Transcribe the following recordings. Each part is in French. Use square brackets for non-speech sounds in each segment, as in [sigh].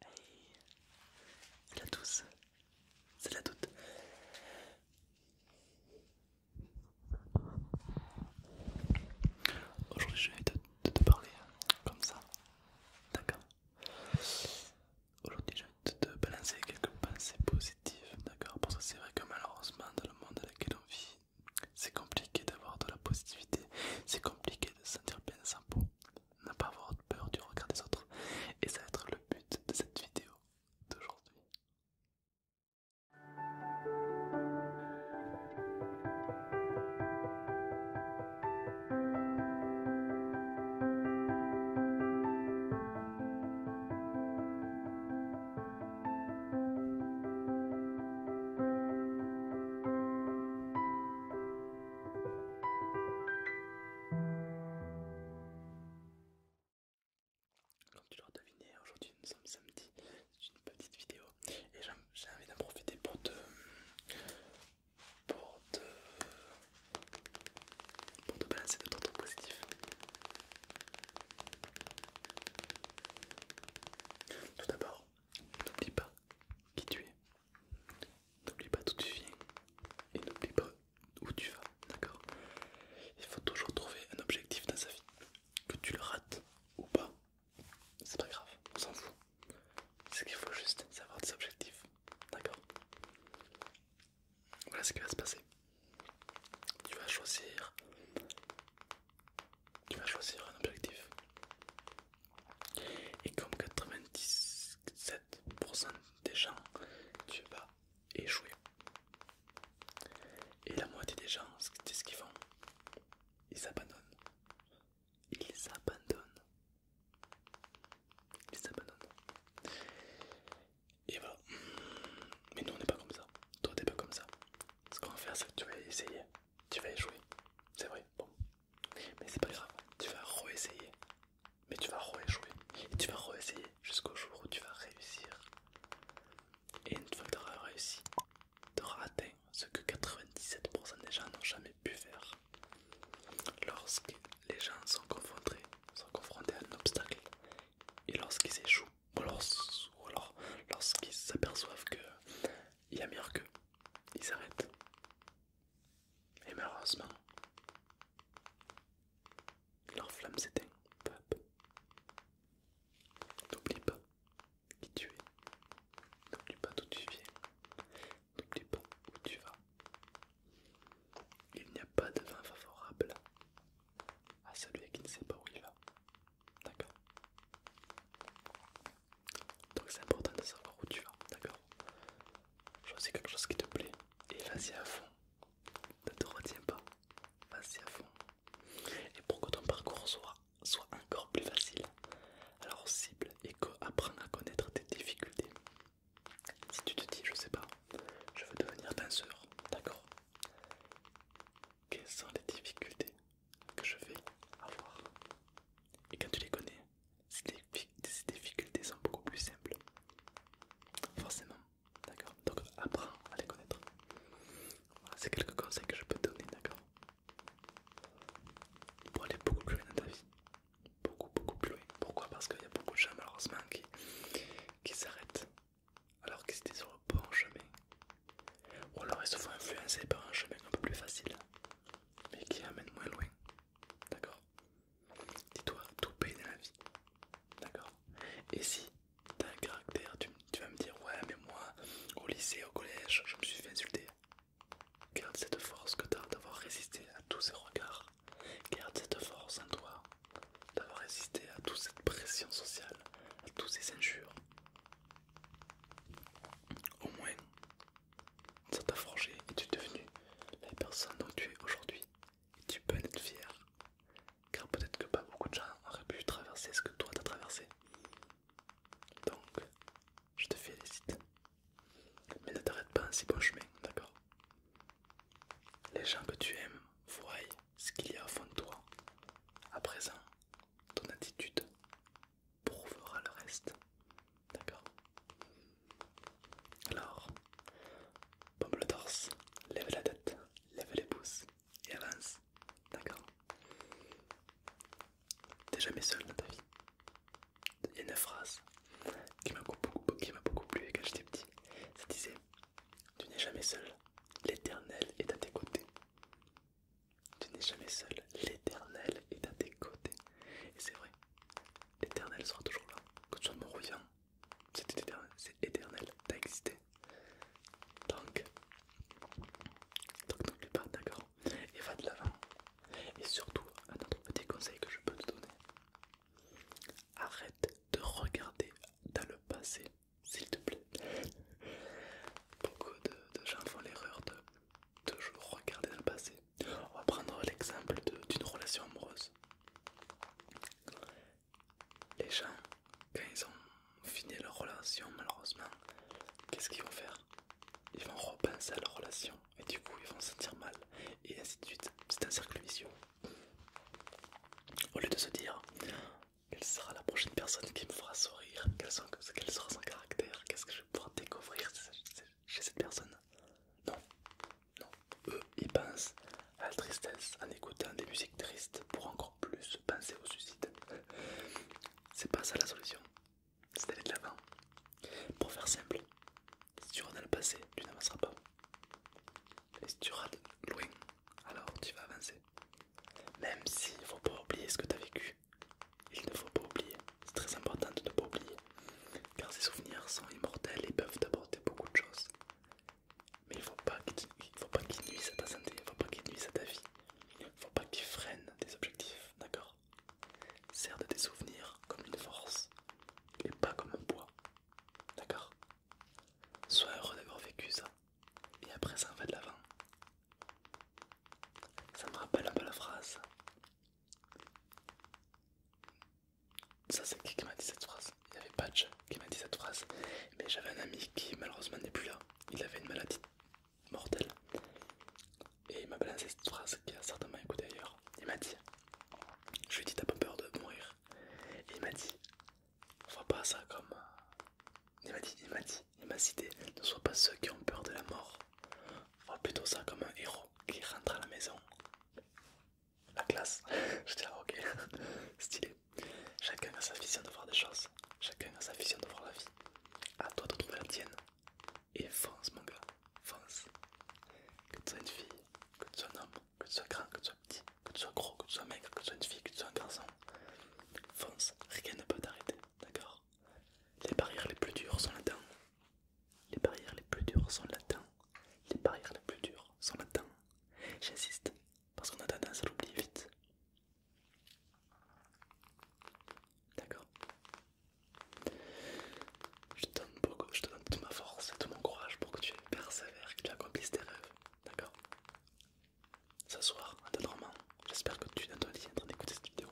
Hey. C'est la douce, c'est la doute. Aujourd'hui, je vais te, parler comme ça, d'accord? Aujourd'hui, je vais te, te balancer quelques pensées positives, d'accord? Parce que c'est vrai que malheureusement, dans le monde dans lequel on vit, c'est compliqué d'avoir de la positivité, c'est compliqué de se sentir bien sans peau, ne pas avoir peur du regard des autres. Et ça va être le but de cette vidéo d'aujourd'hui. Comme tu l'auras deviné, aujourd'hui nous sommes samedi, c'est une petite vidéo et j'ai envie d'en profiter pour te, pour te, te balancer de ton positif. Tout d'abord, n'oublie pas qui tu es. N'oublie pas d'où tu viens et n'oublie pas où tu vas, d'accord Il faut toujours trouver un objectif dans sa vie. Que tu le rates ou pas, c'est pas grave, on s'en fout. C'est qu'il faut juste savoir des objectifs, d'accord Voilà ce qui va se passer. Tu vas choisir tu vas choisir un objectif. Et comme 97% des gens, tu vas échouer. Et la moitié des gens, c'est ce qu'ils font. Ils abandonnent. Ils abandonnent. Ils abandonnent. Et voilà. Mais nous, on n'est pas comme ça. Toi, t'es pas comme ça. Ce qu'on va faire, c'est que tu vas essayer tu vas échouer, c'est vrai, bon, mais c'est pas grave, tu vas re-essayer, mais tu vas re-échouer, et tu vas re-essayer jusqu'au jour où tu vas réussir. Et une fois que tu auras réussi, tu auras atteint ce que 97% des gens n'ont jamais pu faire. Lorsque les gens sont confrontés, sont confrontés à un obstacle, et lorsqu'ils échouent, ou alors lorsqu'ils s'aperçoivent que il y a meilleur que. Ils s'arrêtent. Et malheureusement, leur flamme s'éteint. N'oublie pas qui tu es. N'oublie pas d'où tu viens. N'oublie pas où tu vas. Il n'y a pas de vent favorable à celui qui ne sait pas où il va. D'accord. Donc c'est important de savoir où tu vas, d'accord Choisis quelque chose qui te plaît et vas-y à fond. Ne te retiens pas, vas-y à fond. Et pour que ton parcours soit, soit encore plus facile, alors cible et apprends à connaître tes difficultés. Si tu te dis, je sais pas, je veux devenir danseur, d'accord Quelles sont les difficultés que je vais avoir. Et quand tu les connais, ces difficultés sont beaucoup plus simples. Forcément, d'accord Donc apprends à les connaître. Voilà, c'est quelques conseils que je peux te donner, d'accord Pour aller beaucoup plus loin dans ta vie. Beaucoup, beaucoup plus loin. Pourquoi Parce qu'il y a beaucoup de gens malheureusement qui, qui s'arrêtent alors qu'ils étaient sur le bon chemin. Ou alors ils se font influencer par un chemin un peu plus facile, mais qui amène moins loin. D'accord Dis-toi, tout paye la vie. D'accord Et si t'as un caractère, tu, tu vas me dire Ouais, mais moi, au lycée, au collège, je me suis fait insulter. Garde cette force que t'as d'avoir résisté à tous ces regards. Garde cette force en toi d'avoir résisté à toute cette pression sociale, à toutes ces injures. Au moins, ça t'a forgé et tu es devenu la personne dont tu es aujourd'hui. Et tu peux être fier, car peut-être que pas beaucoup de gens auraient pu traverser ce que toi t'as traversé. Donc, je te félicite. Mais ne t'arrête pas en si bon chemin, d'accord Les gens que tu aimes voient ce qu'il y a au fond de toi. À présent, ton attitude prouvera le reste. D'accord Alors, pompe le torse, lève la tête, lève les pouces et avance. D'accord T'es jamais seul dans ta vie. Il y a une phrase qui m'a beaucoup, m'a beaucoup plu quand j'étais petit. Ça disait tu n'es jamais seul, l'Éternel est à tes côtés. Tu n'es jamais seul, l'Éternel est à tes côtés. Et c'est vrai, l'Éternel sera toujours là. Que tu sois mort c'est éternel, t'as existé. Donc, donc n'oublie pas, d'accord Et va de l'avant. Et surtout, un autre petit conseil que je peux te donner. Arrête de regarder dans le passé s'il te plaît. Beaucoup de, gens font l'erreur de toujours regarder dans le passé. On va prendre l'exemple d'une relation amoureuse. Les gens, quand ils ont fini leur relation, malheureusement, qu'est-ce qu'ils vont faire Ils vont repenser à leur relation et du coup ils vont se sentir mal et ainsi de suite. C'est un cercle vicieux. Au lieu de se dire quelle sera la prochaine personne qui me fera sourire, quel, sera son caractère, qu'est-ce que je vais pouvoir découvrir chez cette personne. Non, non. Eux, ils pensent à la tristesse en écoutant des musiques tristes pour encore plus penser au suicide. C'est pas ça la solution, c'est d'aller de l'avant. Pour faire simple, si tu rentres dans le passé, tu n'avanceras pas. Et si tu rates loin, alors tu vas avancer. Même si il faut pas oublier ce que tu as vécu. Il ne faut pas oublier. C'est très important de ne pas oublier. Car ces souvenirs sont immortels et peuvent t'apporter beaucoup de choses. Mais il ne faut pas qu'ils nuisent à ta santé, il ne faut pas qu'ils nuisent à ta vie. Il ne faut pas qu'ils freinent tes objectifs, d'accord Sers de tes souvenirs comme une force et pas comme un poids. D'accord Sois heureux d'avoir vécu ça. Et après ça, en va de l'avant. Ça me rappelle un peu la phrase. Ça, c'est qui qui m'a dit cette phrase Il y avait Patch qui m'a dit cette phrase. Mais j'avais un ami qui, malheureusement, n'est plus là. Il avait une maladie mortelle. Et il m'a balancé cette phrase qui a certainement écouté ailleurs. Il m'a dit Je lui ai dit, t'as pas peur de mourir il m'a dit, on voit pas ça comme... Euh, il m'a dit, il m'a dit, il m'a cité, ne sois pas ceux qui ont peur de la mort. On plutôt ça comme un héros qui rentre à la maison. La classe. [laughs] Je dis, ah, ok, [laughs] stylé. Chacun a sa vision de voir des choses. Chacun a sa vision de voir la vie. À toi de trouver la tienne. Et fonce mon gars, fonce que tu sois une fille, que tu sois un homme, que tu sois grand, que tu sois petit, que tu sois gros, que tu sois maigre, que tu sois une fille, que tu sois un garçon, fonce, rien ne peut t'arrêter, d'accord Les barrières les plus dures sont là-dedans. Les barrières les plus dures sont là-dedans. Les barrières les plus dures sont là-dedans. J'insiste, parce qu'on a tendance à l'oublier vite. D'accord je te, donne beaucoup, je te donne toute ma force et tout mon courage pour que tu persévères, que tu accomplisses tes rêves. D'accord Ce soir, en j'espère que tu es en train d'écouter cette vidéo.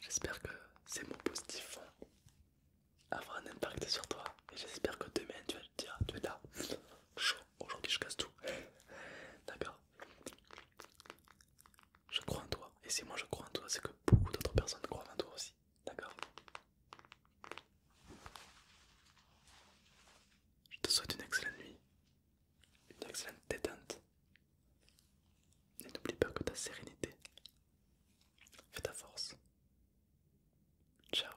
J'espère que ces mots positifs vont avoir un impact sur toi. Et j'espère que demain tu vas te dire, tu es là, chaud, aujourd'hui je casse tout. [laughs] D'accord je crois en toi. Et si moi je crois en toi, c'est que beaucoup d'autres personnes croient en toi aussi. D'accord Je te souhaite une excellente nuit, une excellente détente. Et n'oublie pas que ta sérénité fait ta force. Ciao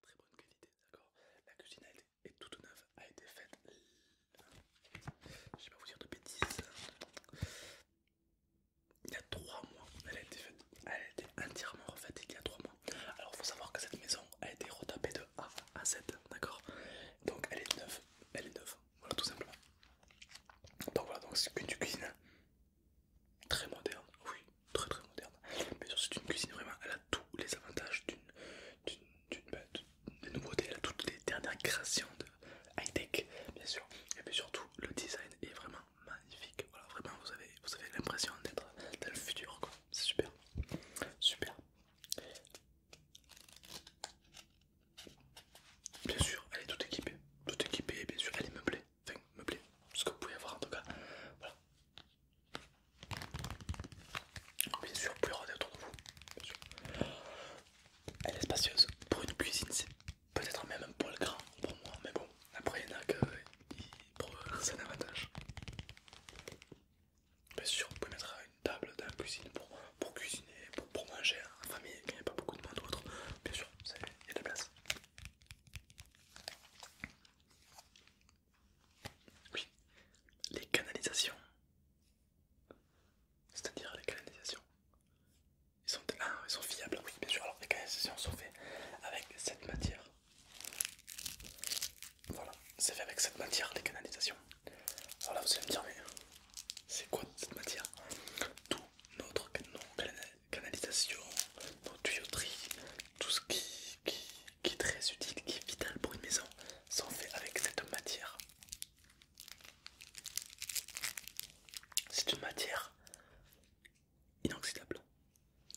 très bonne qualité, d'accord La cuisine est toute neuve, a été faite. Je vais pas vous dire de bêtises. Il y a 3 mois, elle a été faite, elle a été entièrement refaite il y a 3 mois. Alors faut savoir que cette maison a été retapée de A à Z, d'accord Donc elle est neuve, elle est neuve, voilà tout simplement. Donc voilà, donc c'est une cuisine très moderne, oui, très très moderne. Bien sûr, c'est une cuisine vraiment, elle a tous les avantages d'une nouveauté bah, nouveautés, elle a toutes les dernières créations de high-tech, bien sûr. Et puis surtout, le design est vraiment magnifique. Voilà, vraiment, vous avez, vous avez l'impression d'être dans le futur, quoi. C'est super, super. Bien sûr, elle est toute équipée, toute équipée, bien sûr, elle est meublée, enfin meublée, ce que vous pouvez avoir en tout cas. Voilà, Oh, bien sûr, plus regarder autour de vous. Elle est spacieuse. Pour une cuisine, c'est peut-être même un poil grand pour moi, mais bon, après il y en a que c'est un avantage. Bien sûr, vous pouvez mettre une table dans la cuisine pour, pour cuisiner, pour, manger hein, en famille il n'y a pas beaucoup de monde d'autres, Bien sûr, il y a de la place. Oui, les canalisations. C'est-à-dire les canalisations. Ils sont, ah, ils sont fiables, oui, bien sûr. Alors, les canalisations sont faites avec cette matière. Voilà, c'est fait avec cette matière, les canalisations. Alors là, vous allez me dire, mais c'est quoi cette matière Tout notre, canalisation canalisation, nos tuyauteries, tout ce qui, qui, est très utile, qui est vital pour une maison, sont faits avec cette matière. C'est une matière inoxydable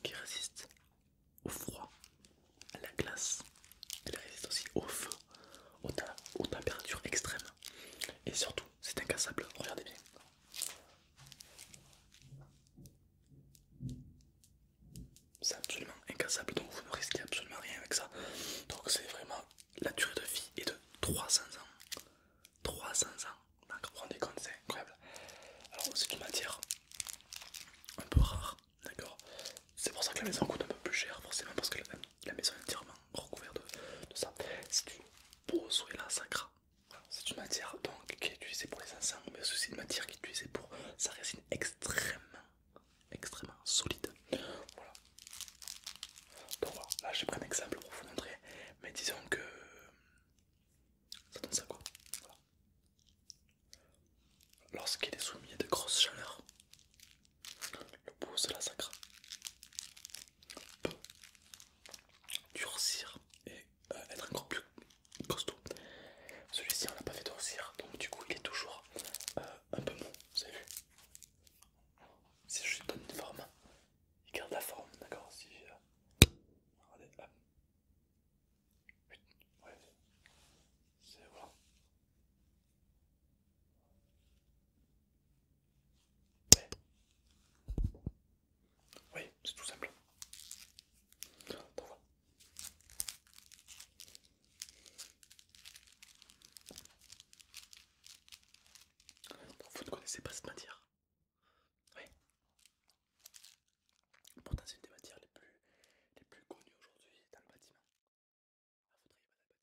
qui résiste au froid, à la glace, elle résiste aussi au feu, aux températures extrêmes et surtout c'est incassable, regardez bien. C'est absolument incassable, donc vous ne risquez absolument rien avec ça. Donc c'est vraiment la durée de vie est de 300 ans. 300 ans, donc vous vous rendez compte, c'est incroyable. Alors c'est une matière un peu rare, d'accord C'est pour ça que la maison coûte un peu plus cher, forcément, parce que la, maison est entièrement recouverte de, ça. Si tu poses là, sacra, c'est une matière donc qui est utilisée pour les encens, mais aussi une matière qui est utilisée pour sa résine extrêmement, extrêmement solide. Voilà. Donc voilà, là j'ai pris un exemple pour vous montrer, mais disons que ça donne ça quoi. Lorsqu'il est soumis à de grosses chaleurs, le pouce de la sacre durcir et euh, être encore plus costaud. Celui-ci on l'a pas fait durcir, donc du coup il est toujours euh, un peu mou, vous avez vu Si je lui donne une forme, il garde la forme, d'accord si, euh, c'est bon oui, c'est tout simple. Vous ne connaissez pas cette matière Oui. Pourtant, c'est une des matières les plus, les plus connues aujourd'hui dans le bâtiment. le bâtiment,